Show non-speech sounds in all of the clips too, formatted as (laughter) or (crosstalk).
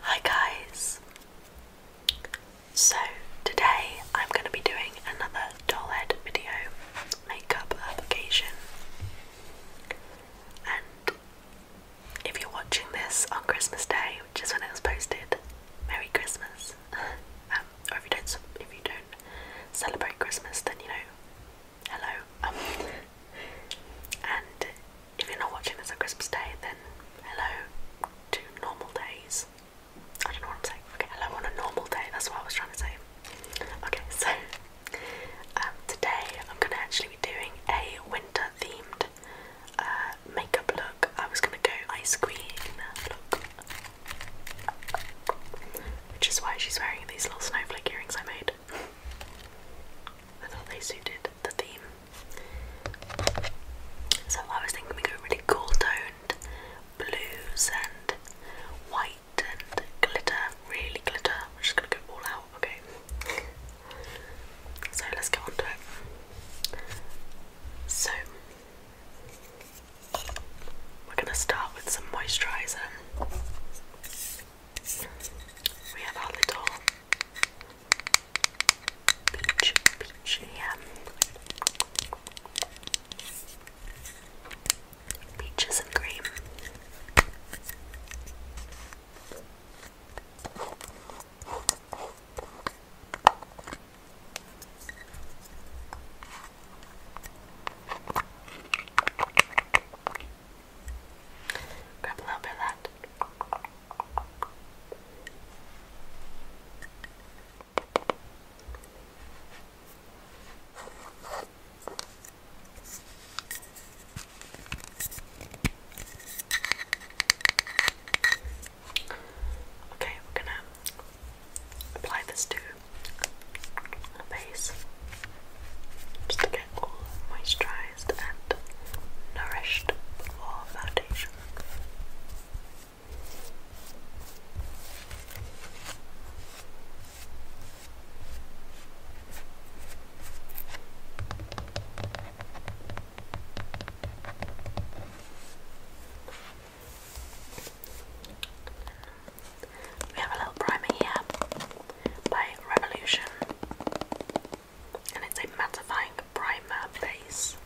Hi guys! So today I'm going to be doing another doll head video makeup application. And if you're watching this on Christmas Day, which is when it was posted, Merry Christmas! (laughs) Um, or if you don't, if you don't celebrate Christmas, then you know, hello. (laughs) and if you're not watching this on Christmas Day, then hello to normal days. I don't know what I'm saying. Okay, hello on a normal day. That's what I was trying to say. Okay, so um, today I'm going to actually be doing a winter themed uh, makeup look. I was going to go ice cream look, which is why she's wearing these little snowflake earrings I made. I thought they suited the theme. So I was thinking we go really cool toned blues and white and glitter, really glitter. We're just gonna go all out, okay? So let's get on to it. So we're gonna start with some moisturizer. We have our little Peach, peach, yeah. Peaches and cream. a little bit of that. Okay, we're going to apply this to the base just to get all moisturized and nourished foundation. We have a little primer here by Revolution and it's a mattifying primer base.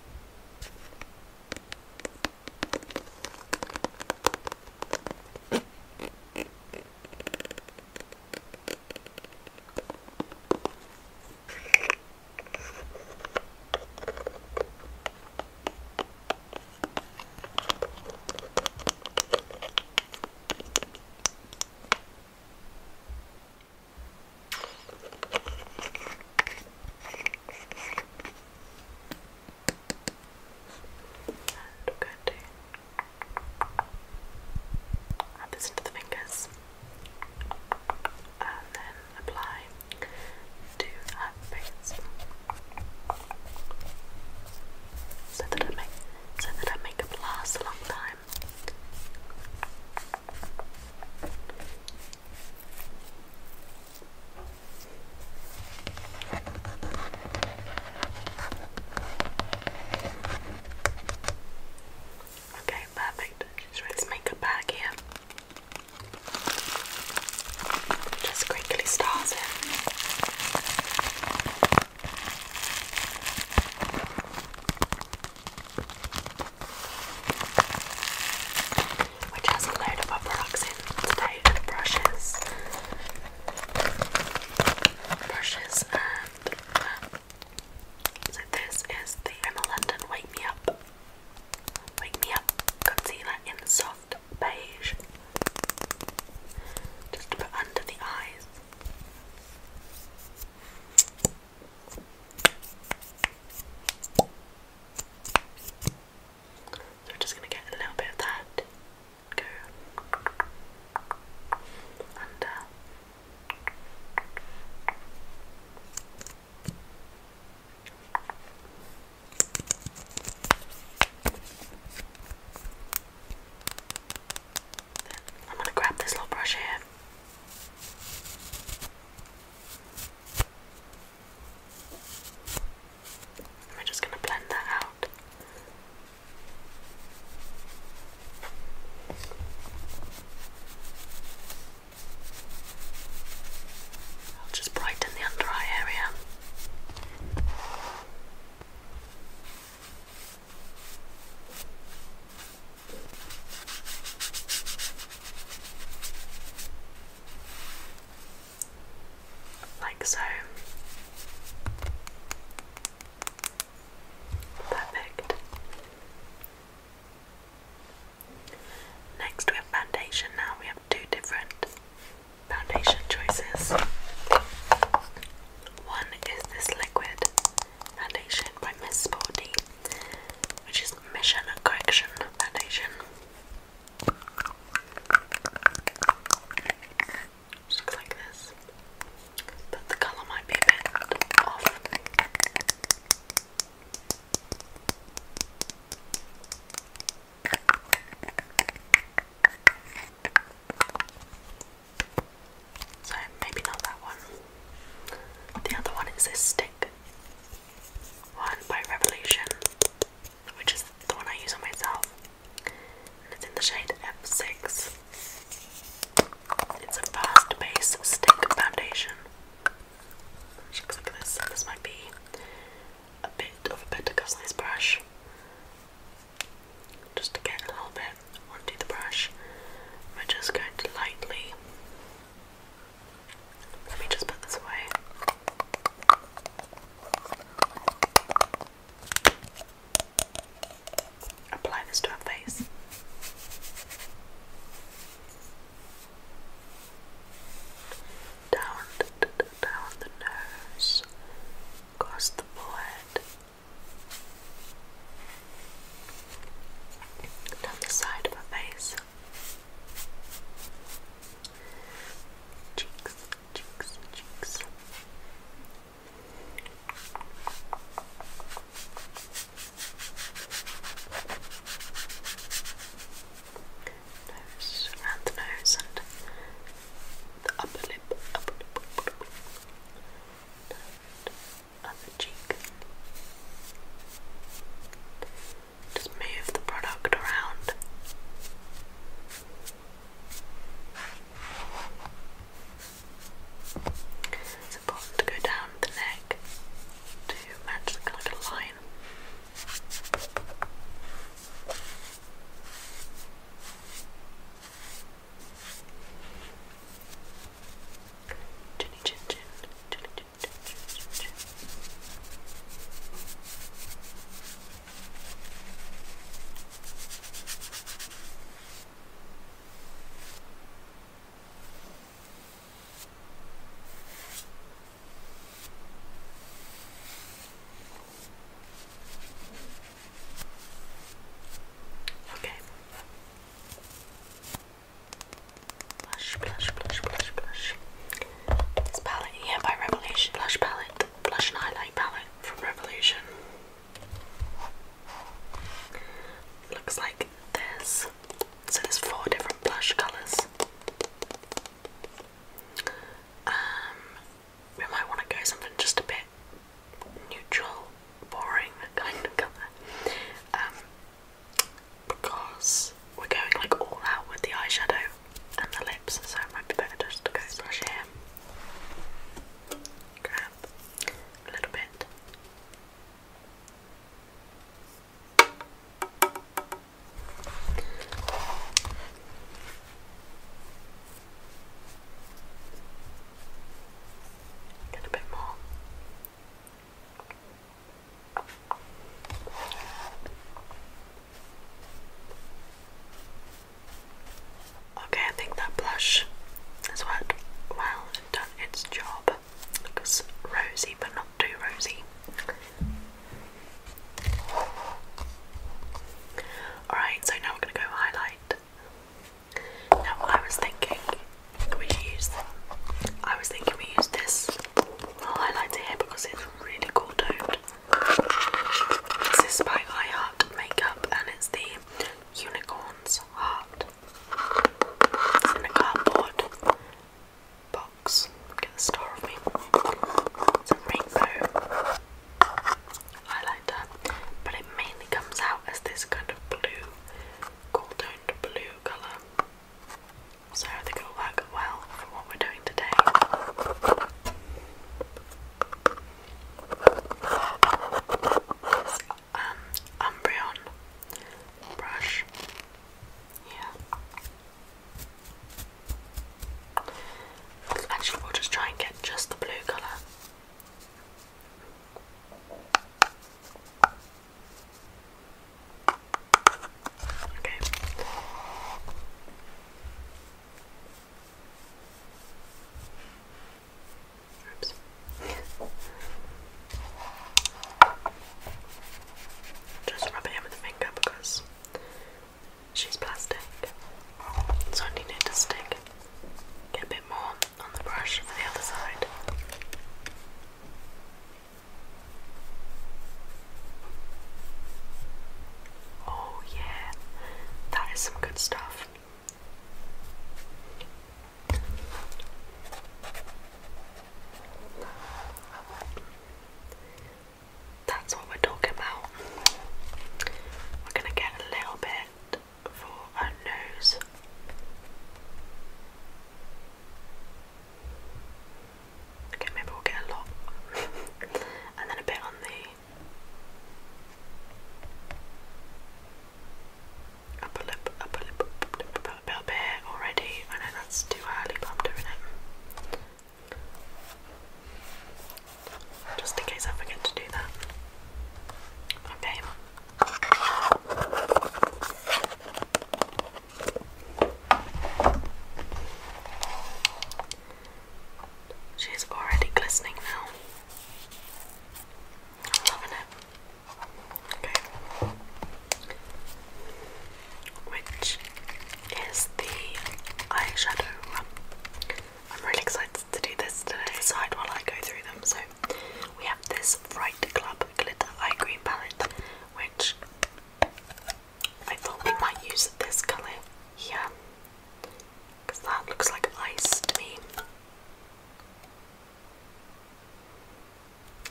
And we to add this into the fingers and then apply to our face so that I make so a long time. Okay, perfect. Just let's make a bag here. Just quickly start it which has a load of products in today brushes, brushes and um, so this is the Emma Wake Me Up, Wake Me Up concealer in soft beige, just to put under the eyes. So we're just going to get a little bit of that, go under. I'm going to grab this little brush here. we're just going to blend that out. I'll just brighten the under eye area. Like so. Perfect. Next, we have foundation. Now we have two different foundation choices. One is this liquid foundation by Miss Sporty which is Mission Correction Foundation. looks like this, but the colour might be a so maybe not that one. The other one is this stick one by Revolution, which is the one I use on myself. And it's in the shade F6. It's a fast base stick foundation. looks like this. This might be a bit of a better size brush. Just to get a little bit onto the brush. We're just going to lightly. Let me just put this away. Apply this to our face. Down, down the nose, across the forehead, down the side of her face, cheeks, cheeks, cheeks. Nose, around the nose and the upper lip, upper lip, upper other Just move the product around. It's important to go down the neck to match the kind line. Jenny Chin Chin. Jenny Chin Chin Chin Chin Chin. Okay. Blush, blush, blush, blush, blush. This palette here by Revolution Blush Palette, Blush and Highlight Palette from Revolution. Looks like this. So there's four different blush colours. Um, we might want to go something just a bit neutral boring kind of colour. Um, because we're going like all out with the eyeshadow and the lips, so it might be better just to go brush here. Grab a little bit. Get a bit more. Okay, I think that blush has worked well and done its job. Looks rosy, but not too rosy. Alright, so now we're going to go highlight. Now I was thinking we use I was thinking we use this highlighter because it's really cool toned. This is by Heart Makeup and it's the Unicorn's Heart. It's in a cardboard box. Get the star of me. It's a rainbow highlighter, but it mainly comes out as this kind of blue gold toned blue colour. So I think it'll work well for what we're doing today. This um, Umbreon brush. Yeah. Actually, we'll just try and get just the blue colour. Okay. Oops. Just rubbing it with a finger because she's plastic. So I need to stick. Get a bit more on the brush for the other side. Oh, yeah, that is some good stuff. That's what we're talking about. We're going to get a little bit for our nose. Okay, maybe we'll get a lot. (laughs) and then a bit on the upper lip, upper lip, upper lip, upper lip, already. I know that's too early, but doing it. Just in case I forget to do that. Okay, She's already glistening now. I'm loving it. Okay. Which is the eyeshadow. I'm really excited to do this To Decide while I go through them, so we have this Fright Club Glitter Eye Green Palette, which I thought we might use this colour here, because that looks like ice to me.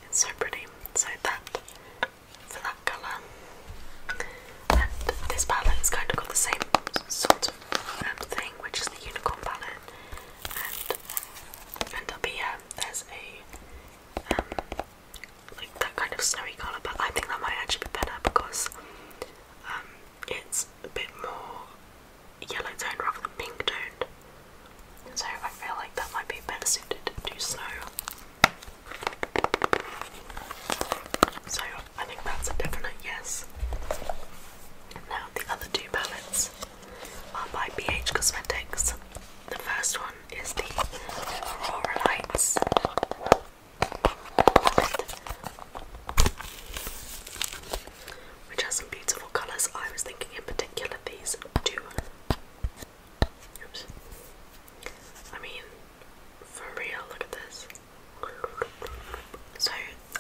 It's so pretty. So that for that colour. And this palette has kind of got the same sort of um, thing, which is the unicorn palette and up here um, there's a um, like that kind of snowy colour, but I think that might actually be better because um, it's a bit more yellow toned rather than pink toned. So I feel like that might be better suited to snow. So I think that's a definite yes. Now the other two palettes by BH Cosmetics. The first one is the Aurora Lights. Which has some beautiful colours. I was thinking in particular these two. Oops. I mean, for real, look at this. So,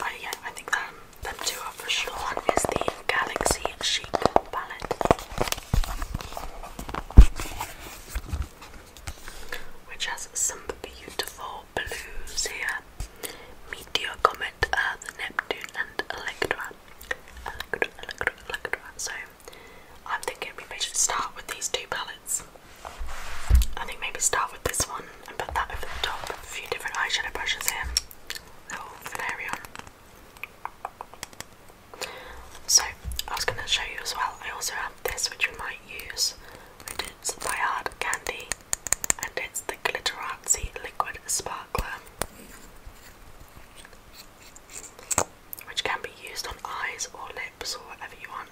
I, yeah, I think um, the two are for one is the Galaxy Chic palette, which has some beautiful blues here. Meteor Comet, uh, the Neptune, and Electra. Electra, Electra, Electra. So I'm thinking maybe I should start with these two palettes. I think maybe start with this one and put that over the top. A few different eyeshadow brushes here little Valerian. So I was going to show you as well. I also have this, which you might use. It is by Hard Candy, and it's the Glitterazzi Liquid Sparkler, which can be used on eyes or lips or whatever you want.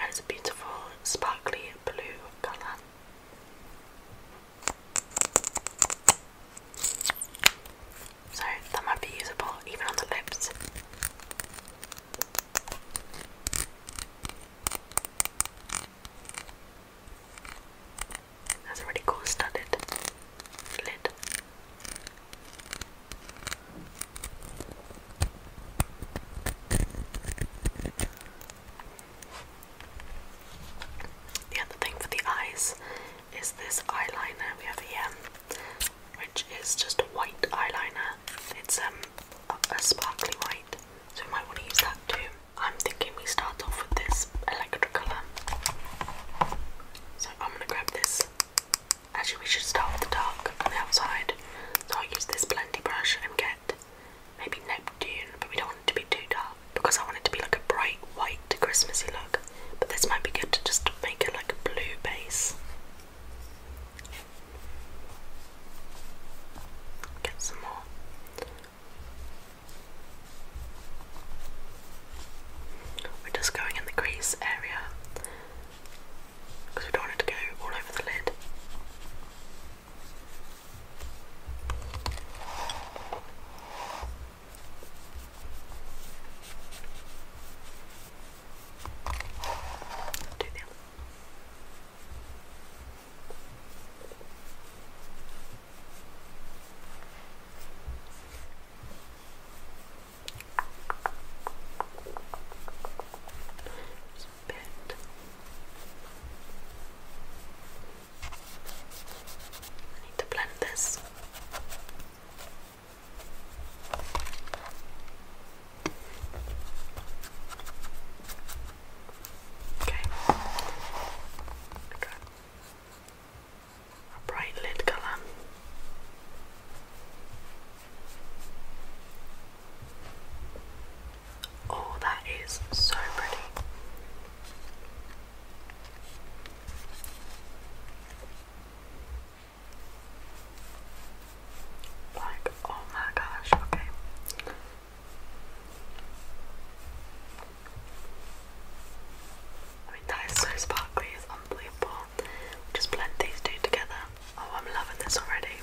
And it's a beautiful, sparkly blue colour. So that might be usable even on the lips. That's a really cool studded lid. The other thing for the eyes is this eyeliner we have here, which is just a white eyeliner. It's um a, sparkly white, so we might want to use that too. I'm thinking we start off with this electricolour. So I'm gonna grab this. Actually, we should start with the dark on the outside. So I'll use this blendy brush and get maybe Neptune, but we don't want it to be too dark because I want it to be like a bright white Christmassy look. But this might be good to just make it like a blue base. Get some more. We're just going in the crease area because we don't want it to go all over the lid. Do the other. I need to blend this. Okay. I a bright lid colour. Oh, that is so pretty. Like, oh my gosh, okay. I mean, that is so sparkly, it's unbelievable. Just blend these two together. Oh, I'm loving this already.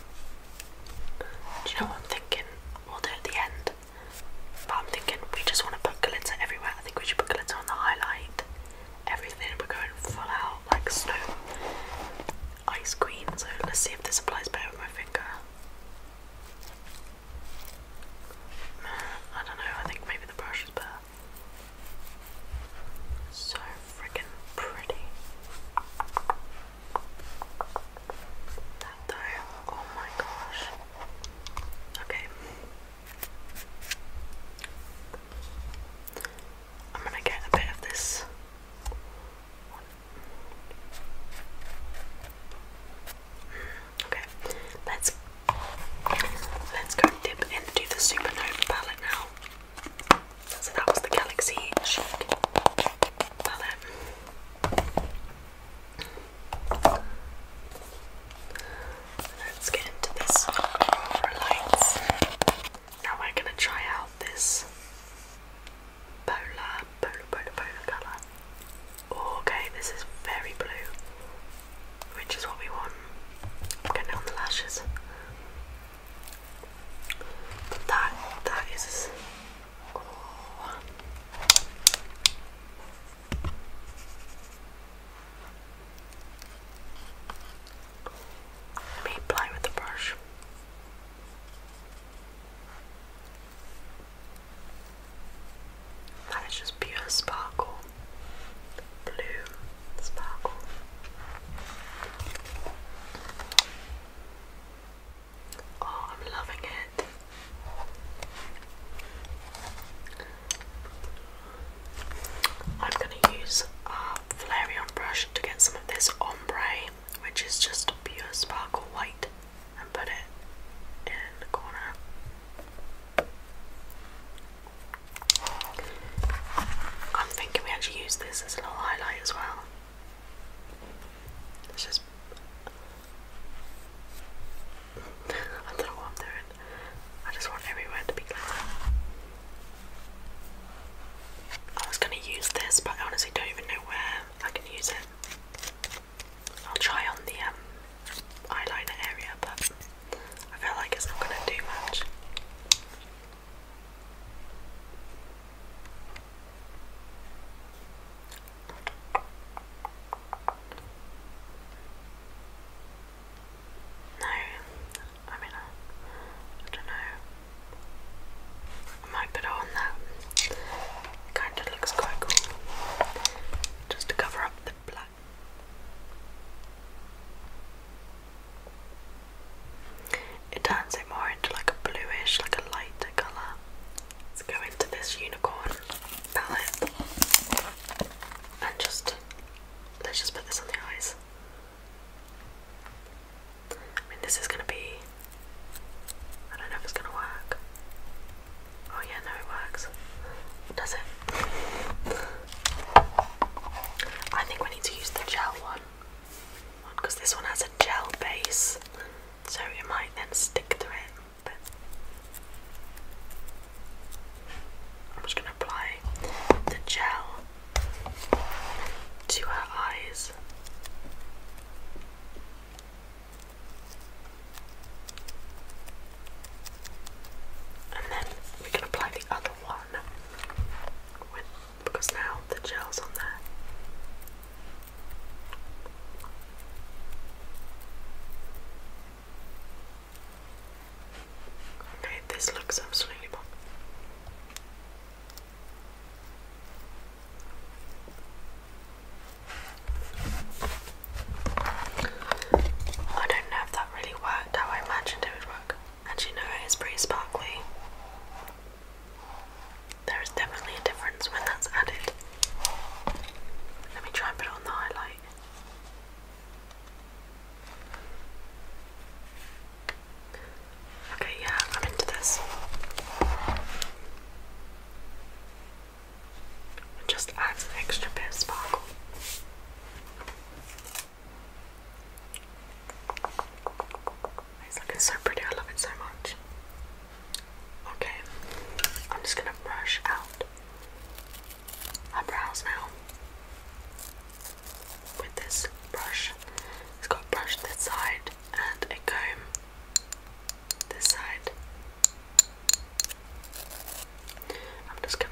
Do you know what I'm thinking? We'll do at the end. But I'm thinking we just want to put glitter everywhere. I think we should put glitter on the highlight. Everything we're going full out like snow ice cream. So let's see if this applies better with my finger. I don't know, I think maybe the brush is better. So freaking pretty. That though, oh my gosh. Okay. I'm going to get a bit of this. Okay, let's let's go dip into the Supernova palette now. So that was the Galaxy palette. Let's get into this aurora lights. Now we're gonna try out this polar, polar, polar, polar colour. okay, this is very blue, which is what we want. getting on the lashes. that, that is. Oh. Let me apply with the brush. That is just pure sparkle. Blue sparkle. Oh, I'm loving it. I'm gonna use a Valerian brush to get some of this ombre, which is just pure sparkle white, and put it in the corner. I'm thinking we actually use this as a little highlight as well. It's just I don't know what I'm doing. I just want everywhere to be clear. I was gonna use this, but I honestly don't even know where I can use it. I'll try on the um, area, but I feel like it's not gonna do much. No, I mean, I, don't know. I might put on that. Kind of looks quite cool. Just to cover up the black. It turns it more into like a bluish, like a lighter colour. Let's go into this unicorn palette and just let's just put this on the eyes. I mean, this is gonna be. I don't know if it's gonna work. Oh, yeah, no, it works. Does it? I think we need to use the gel one because this one has a gel base, so it might then stick to it. I'm just going to apply the gel to her eyes. And then we can apply the other one because now the gel's on there. Okay, this looks absolutely bomb. I don't know if that really worked how I imagined it would work. Actually, no, it is pretty sparkly. There is definitely a difference when that's added. Let me try and put on the highlight. Okay, yeah, I'm into this. just adds an extra bit of sparkle. It's looking so pretty, I love it so much. Okay, I'm just gonna brush out my brows now with this brush. It's got a brush this side and a comb this side. I'm just gonna.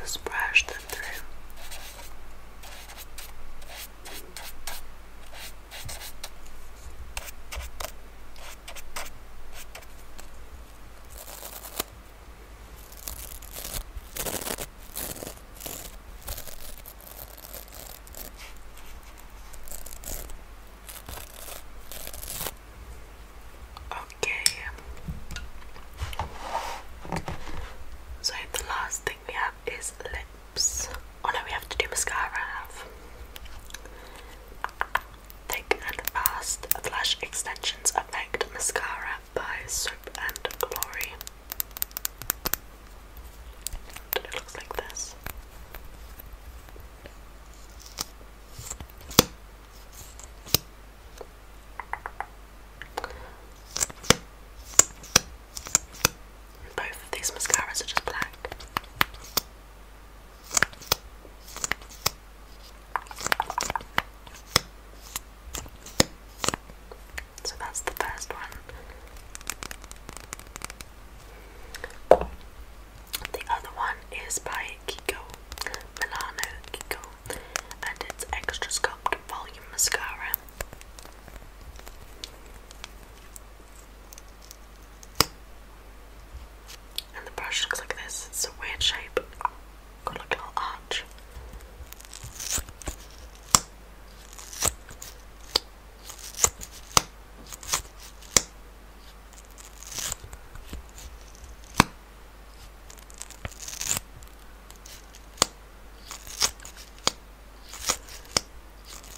Just brush them through. Okay. So the last thing we have is lips. Oh no, we have to do mascara. Thick and Fast Flash Extensions Effect Mascara by Soap and Glory. And it looks like this. Both of these mascaras are just black. So that's the first one. The other one is by Kiko Milano Kiko and it's Extra Sculpt Volume Mascara. And the brush looks like this. It's a weird shape. Got like a little arch. If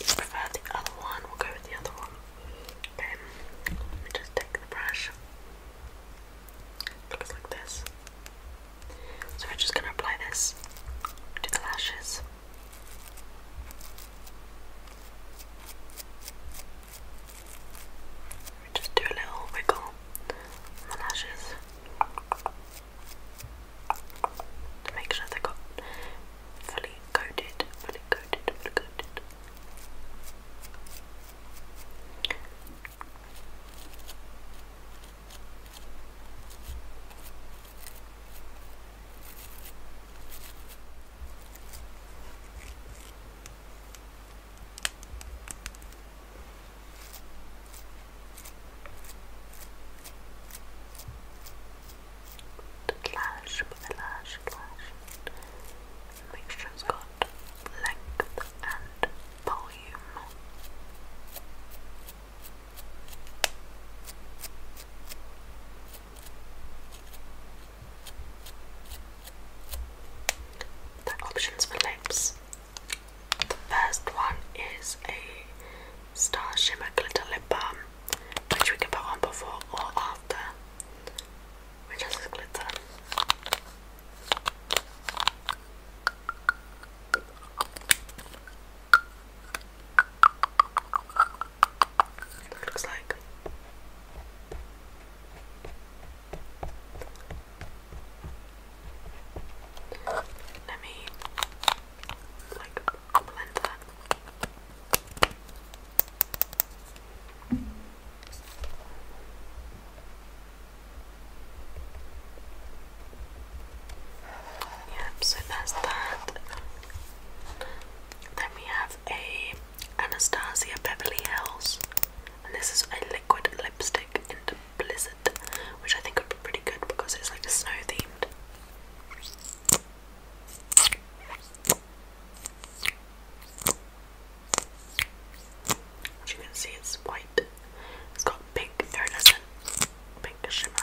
you prefer the other one, we'll go with the other one. Okay, let me just take the brush. looks like this. So we're just going to apply this to the lashes. Just do a little wiggle lashes to make sure they got fully coated, fully coated, fully coated. Lash with a lash, lash. Make sure it's got length and volume the options for lips. The first one is a Star Shimmer Glitter Lip Balm, which we can put on before or after, which has glitter. That's it looks like. Let me like blend that. Yep, so that's that. Then we have a Anastasia Beverly Hills, and this is a liquid lipstick in Blizzard, which I think would be pretty good because it's like a snow themed. As you can see, it's white. It's got pink iridescent, pink shimmer.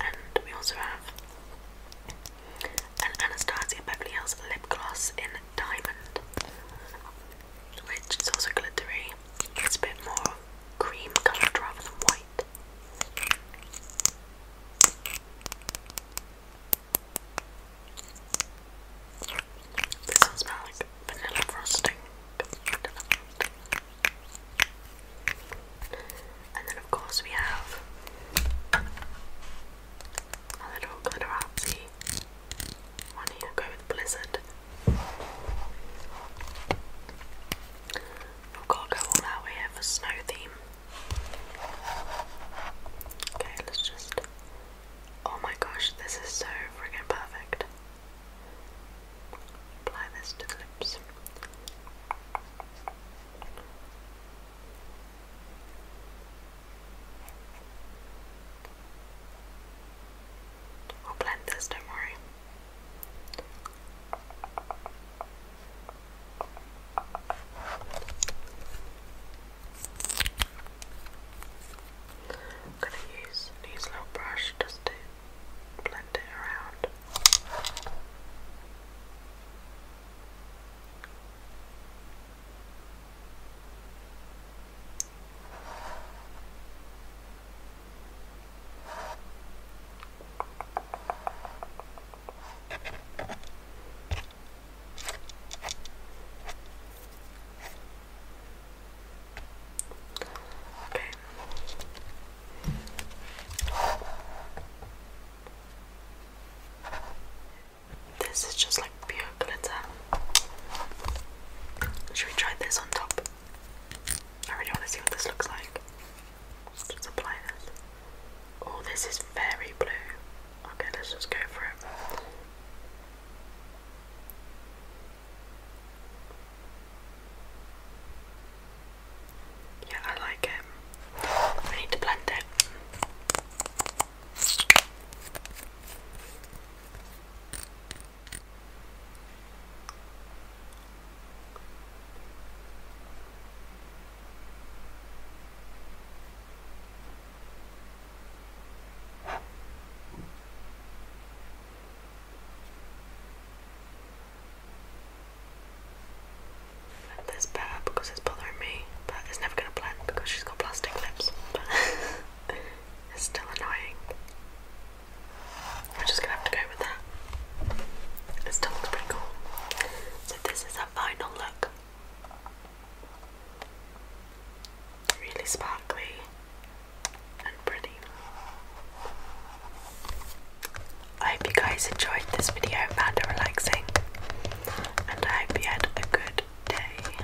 And we also have an Anastasia Beverly Hills lip gloss in diamond, which is also glittery. It's a bit more cream coloured rather than white. This will smell like vanilla frosting. And then, of course, we have a little glitterati one here, go with Blizzard. We've go all out here for snow theme. Okay, let's just Oh my gosh, this is so freaking perfect. Apply this to the lips. I'll blend this, don't worry. I'm going to use an little brush just to blend it around. Okay. This is just like pure glitter. Should we try this on top? I really want to see what this looks like. Just apply this. Oh, this is very blue. Okay, let's just go for it. Yeah, I like it. I need to blend it. This better because it's bothering me, but it's never gonna blend because she's got plastic lips. But (laughs) it's still annoying. We're just gonna have to go with that. It still looks pretty cool. So this is our final look. Really sparkly and pretty. I hope you guys enjoyed this video, found it relaxing, and I hope you had a good day.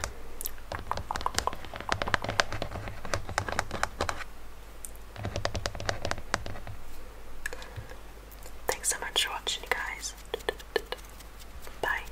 Thanks so much for watching, you guys. Bye.